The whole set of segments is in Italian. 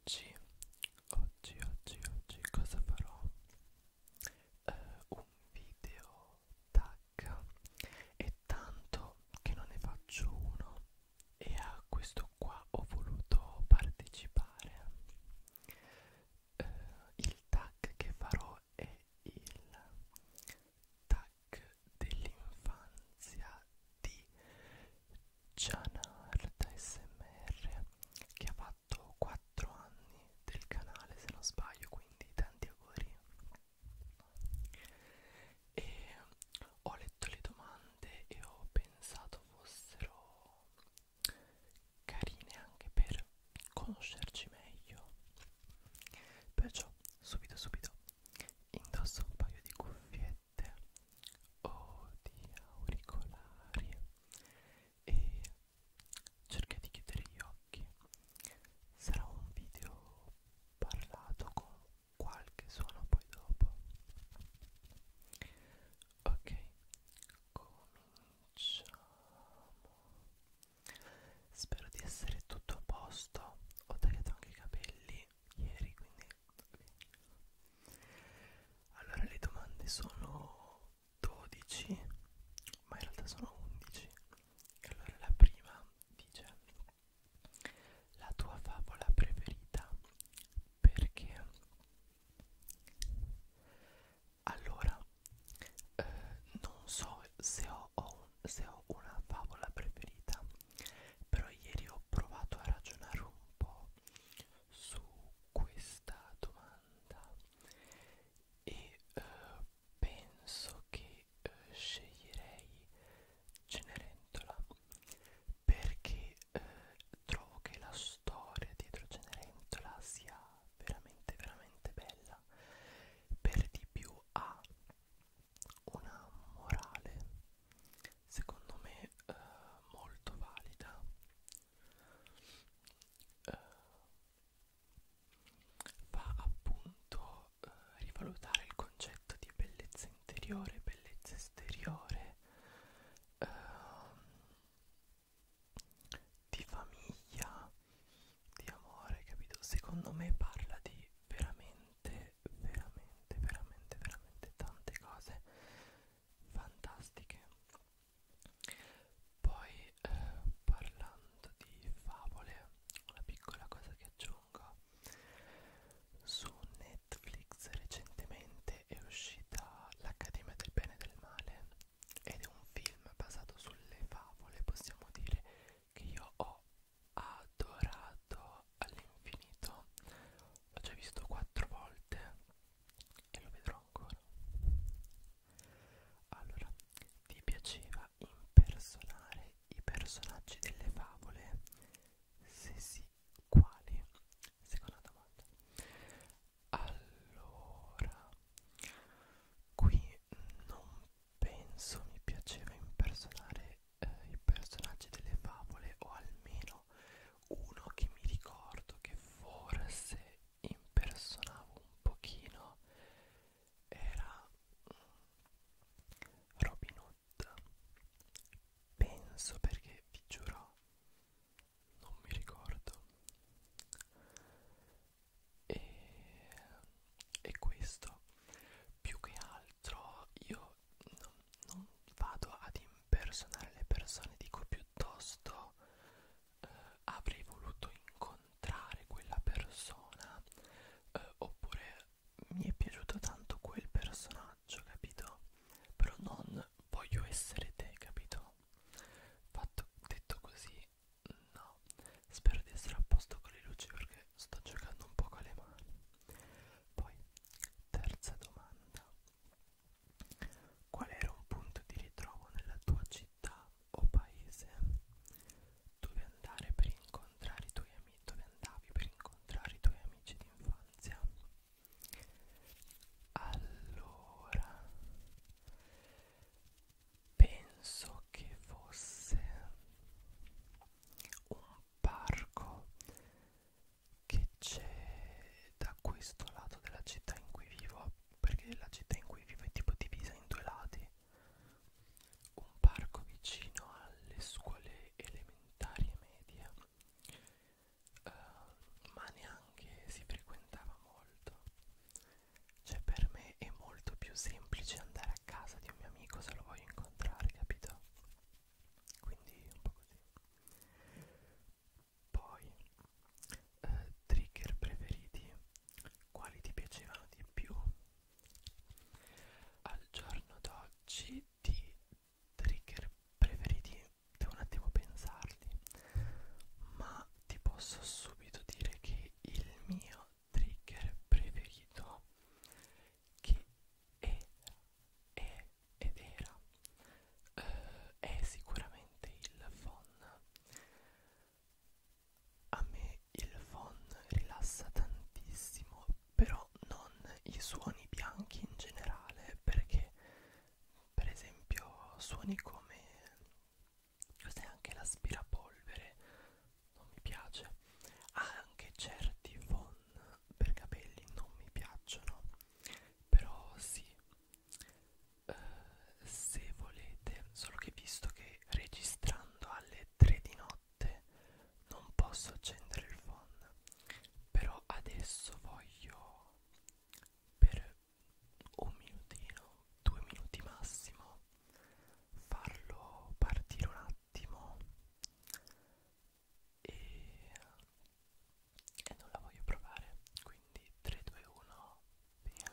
oggi, oggi, oggi, oggi cosa farò? Uh, un video tag è tanto che non ne faccio uno e a questo qua ho voluto partecipare uh, il tag che farò è il tag dell'infanzia di Gianard SMR che ha fatto 4 anni del canale se non sbaglio quindi tanti auguri e ho letto le domande e ho pensato fossero carine anche per conoscerci meglio perciò subito subito indosso un paio di cuffiette cuffiette o di auricolari e cerca di chiudere gli occhi sarà un video parlato con qualche suono poi dopo ok cominciamo spero di essere tutto a posto ho tagliato anche i capelli ieri quindi allora le domande sono 12, ma in realtà sono 11. Allora la prima dice la tua favola preferita perché allora eh, non so se ho, ho, un, se ho una favola preferita però ieri ho provato a ragionare un po' su questa domanda e eh, penso che eh, sceglierei Cenerentola perché eh, trovo che la storia dietro Cenerentola sia veramente veramente bella per di più ha una morale secondo me eh, molto valida eh, va appunto eh, rivalutare il concetto di bellezza interiore bellezza esteriore eh, di famiglia di amore capito secondo me parla di veramente veramente veramente veramente tante cose fantastiche poi eh, parlando di favole una piccola cosa che aggiungo su Netflix recentemente è uscita l'Accademia del Bene e del Male ed è un film basato sulle favole possiamo dire che io ho adorato all'infinito l'ho già visto quattro volte e lo vedrò ancora allora vi piaceva impersonare i personaggi delle favole se sì quali seconda domanda allora qui non penso mi piaceva impersonare eh, i personaggi delle favole o almeno uno che mi ricordo che forse impersonavo un pochino era mm, Robin Hood penso perché vi giuro non mi ricordo e, e questo più che altro io io non, non vado ad impersonare le persone, dico piuttosto eh, avrei voluto incontrare quella persona eh, oppure mi è piaciuto tanto quel personaggio, capito? Però non voglio essere te, capito? Fatto, detto così, no. Spero di essere a posto con le luci perché sto giocando un po' con le mani. Poi, terza domanda. Qual era un punto di ritrovo nella tua città o paese? Dove andare per incontrare i tuoi amici? Dove andavi per incontrare i tuoi amici d'infanzia? Allora, penso che fosse un parco che c'è da questo lato della città in cui vivo perché la città in cui vivo è tipo divisa in due lati un parco vicino alle scuole elementari e medie uh, ma neanche si frequentava molto cioè per me è molto più semplice andare a casa di un mio amico se lo voglio incontrare capito quindi un po' così poi, eh, trigger preferiti, quali ti piacevano di più? Al giorno d'oggi di trigger preferiti devo un attimo pensarli, ma ti posso subito dire che il mio trigger preferito che è, è ed era eh, è sicuramente il phon a me il phon rilassa tantissimo però non i suoni bianchi in generale perché per esempio suoni come cos'è anche l'aspirapolvere non mi piace anche certi phon per capelli non mi piacciono però sì eh, se volete solo che visto che registrando alle 3 di notte non posso accendere il phone però adesso voglio per un minutino due minuti massimo farlo partire un attimo e, e non la voglio provare quindi 3 2 1 via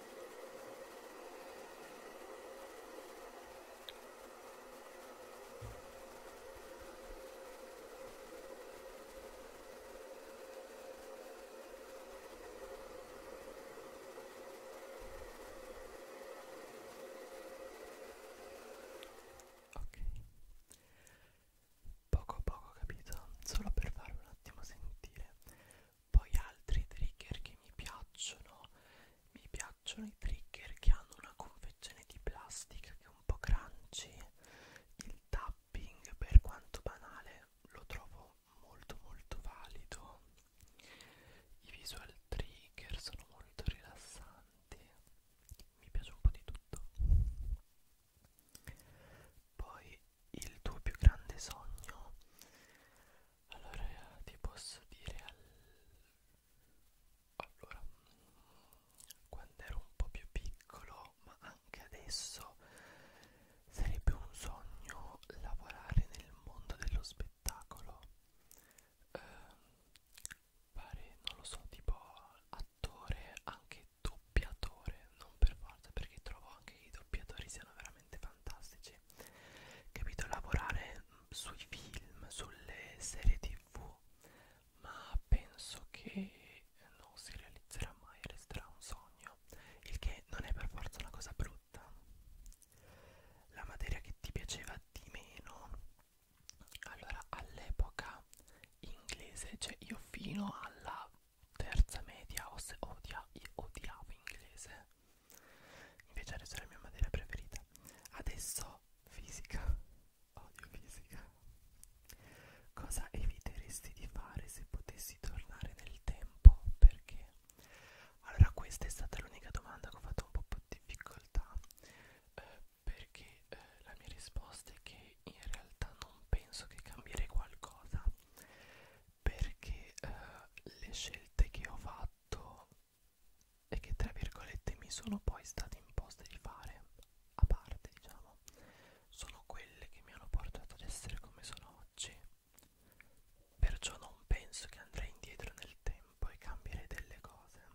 Ok, poco a poco capito, solo per farvi un attimo sentire poi altri trigger che mi piacciono, mi piacciono i trigger che hanno una confezione di plastica che è un po' crunchy, il tapping per quanto banale lo trovo molto molto valido, i visual trigger sono molto rilassanti, mi piace un po' di tutto. Poi il tuo più grande sogno. Allora ti posso dire al... Allora, quando ero un po' più piccolo, ma anche adesso, sarebbe un sogno lavorare nel mondo dello spettacolo. Eh, fare, non lo so, tipo attore, anche doppiatore, non per forza, perché trovo anche che i doppiatori siano veramente fantastici mesi capito lavorare sui film sulle serie tv ma penso che non si realizzerà mai resterà un sogno il che non è per forza una cosa brutta la materia che ti piaceva di meno allora all'epoca inglese cioè io fino alla terza media o se odia, io odiavo inglese invece adesso è la mia materia preferita adesso fisica odio fisica cosa eviteresti di fare se potessi tornare nel tempo perché allora questa è stata l'unica domanda che ho fatto un po' più difficoltà eh, perché eh, la mia risposta è che in realtà non penso che cambierei qualcosa perché eh, le scelte che ho fatto e che tra virgolette mi sono poi state imposte di fare a parte diciamo sono quelle che mi hanno portato ad essere come sono oggi perciò non penso che andrei indietro nel tempo e cambierei delle cose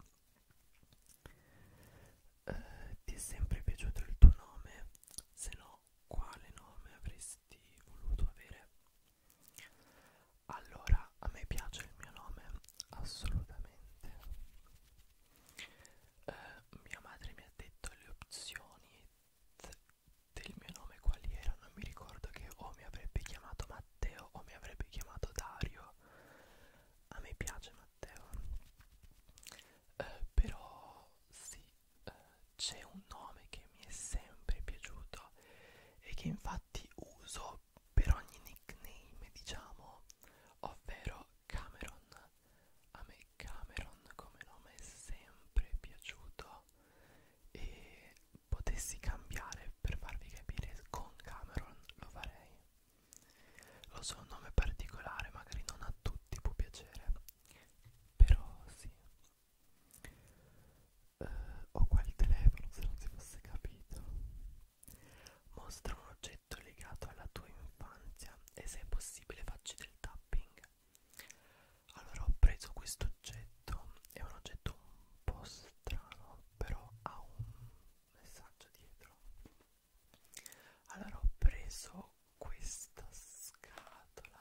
eh, ti è sempre piaciuto il tuo nome se no quale nome avresti voluto avere allora, a me piace il mio nome assolutamente. Eh, mia madre mi ha detto le opzioni del mio nome quali erano. Mi ricordo che o mi avrebbe chiamato Matteo o mi avrebbe chiamato Dario. A me piace Matteo. Eh, però sì, eh, c'è un nome che mi è sempre piaciuto e che infatti uso per ogni nickname diciamo ovvero Cameron a me Cameron come nome è sempre piaciuto e potessi cambiare per farvi capire con Cameron lo farei lo so un nome particolare magari non a tutti può piacere però sì eh, ho qua il telefono se non si fosse capito mostra un oggetto legato alla tua infanzia e se è possibile facci del tapping allora ho preso questo oggetto è un oggetto un po' strano però ha un messaggio dietro allora ho preso questa scatola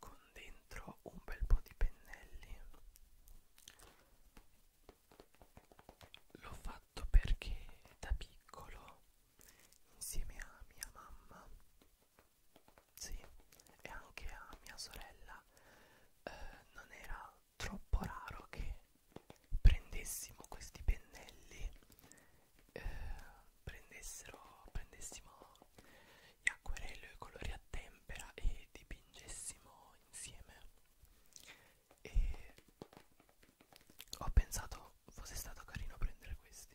con dentro un bel po' di pennelli l'ho fatto perché da piccolo insieme a mia mamma sì, e anche a mia sorella eh, non era troppo raro che prendessimo questi pennelli eh, prendessero prendessimo acquerello e colori a tempera e dipingessimo insieme e ho pensato fosse stato carino prendere questi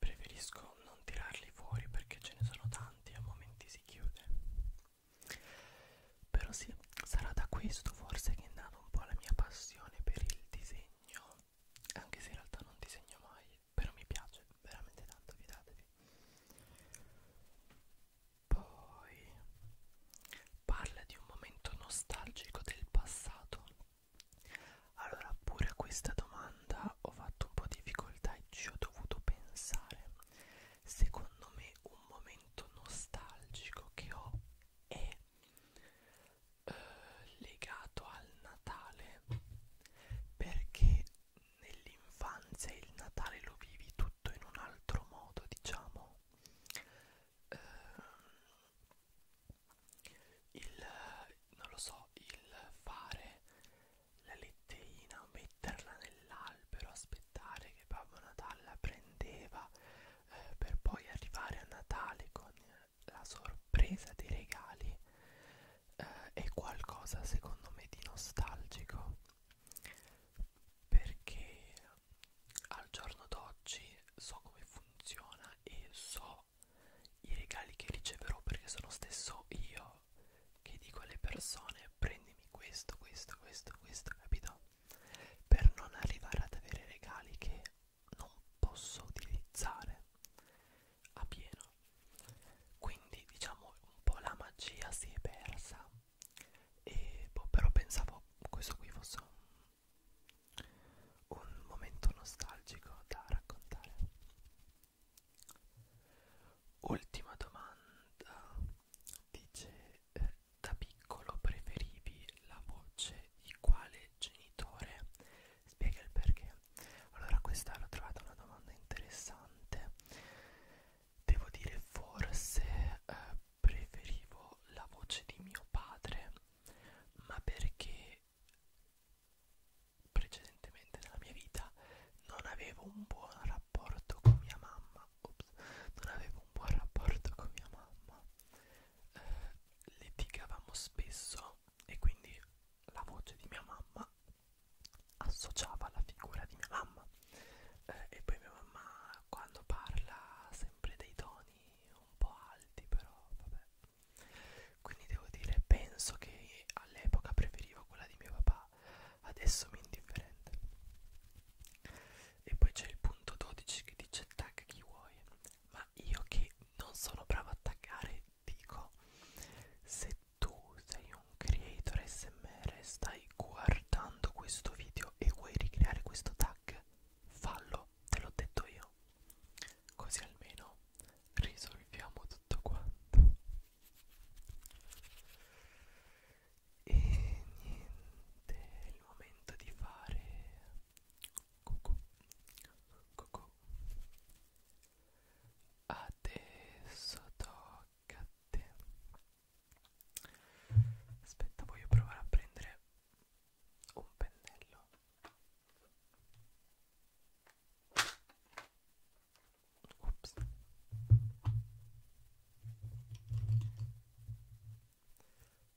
Preferisco non tirarli fuori perché ce ne sono tanti e a momenti si chiude. Però sì, sarà da questo forse che è nata un po' la mia passione per il disegno, anche se in realtà non disegno mai, però mi piace veramente tanto, fidatevi. Poi parla di un momento nostalgico del passato allora pure a questa domanda ho fatto un po' di difficoltà e ci ho dovuto pensare. Secondo me un momento nostalgico che ho è eh, legato al Natale perché nell'infanzia il Natale lo vivi tutto in un altro modo, diciamo. Eh, il non lo so il fare la letterina metterla nell'albero aspettare che Babbo Natale la prendeva eh, per poi arrivare a Natale con la sorpresa dei regali eh, è qualcosa secondo me di nostalgico perché al giorno d'oggi so come funziona e so i regali che riceverò perché sono stesso io che dico alle persone prendimi questo, questo, questo, questo, capito? Per non arrivare ad avere regali che non posso utilizzare a pieno. Quindi diciamo un po' la magia si è persa. E boh, però pensavo questo qui fosse un un momento nostalgico da raccontare. Ultima domanda, dice eh, da piccolo preferivi la voce di quale genitore? Spiega il perché. Allora questa l'ho trovata una domanda interessante. Devo dire forse eh, preferivo la voce di mio padre, ma perché precedentemente nella mia vita non avevo un buon rapporto con mia mamma Ops, non avevo un buon rapporto con mia mamma eh, litigavamo spesso e quindi la voce di mia mamma associava la figura di mia mamma eh, e poi mia mamma quando parla sempre dei toni un po' alti però vabbè quindi devo dire, penso che all'epoca preferivo quella di mio papà, adesso mi è indifferente. E poi c'è il punto 12 che dice tag chi vuoi, ma io che non sono bravo a taggare dico se tu sei un creator smr stai guardando questo video e vuoi ricreare questo tag fallo te l'ho detto io Così almeno risolviamo tutto quanto. E niente, è il momento di fare cucù, cucù. Adesso tocca a te. Aspetta, voglio provare a prendere un pennello. Ups.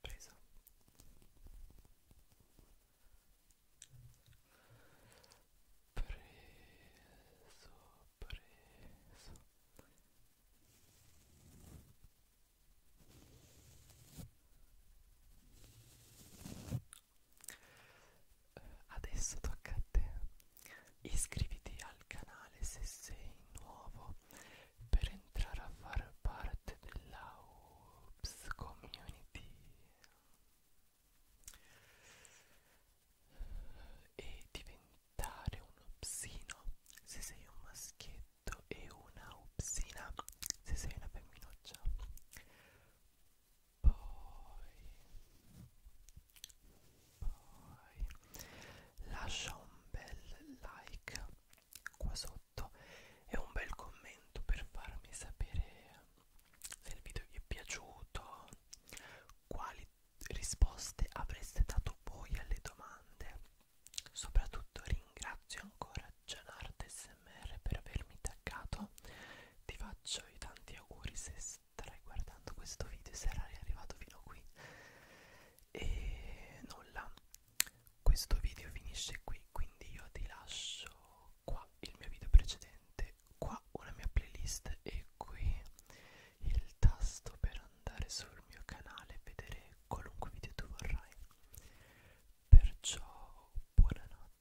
preso preso preso Adesso tocca a te. Iscriviti al canale se sei nuovo per entrare a far parte della Oops Community e diventare un upsino se sei un maschietto e una upsina se sei una femminuccia poi, poi lascia un bel like qua sotto e un bel commento per farmi sapere se il video vi è piaciuto quali risposte avreste dato voi alle domande soprattutto ringrazio ancora Gianart SMR per avermi taggato ti faccio i tanti auguri se starai guardando questo video e sarai arrivato fino a qui e nulla questo video finisce qui quindi io ti lascio qua il mio video precedente qua una mia playlist e qui il tasto per andare sul mio canale e vedere qualunque video tu vorrai perciò buonanotte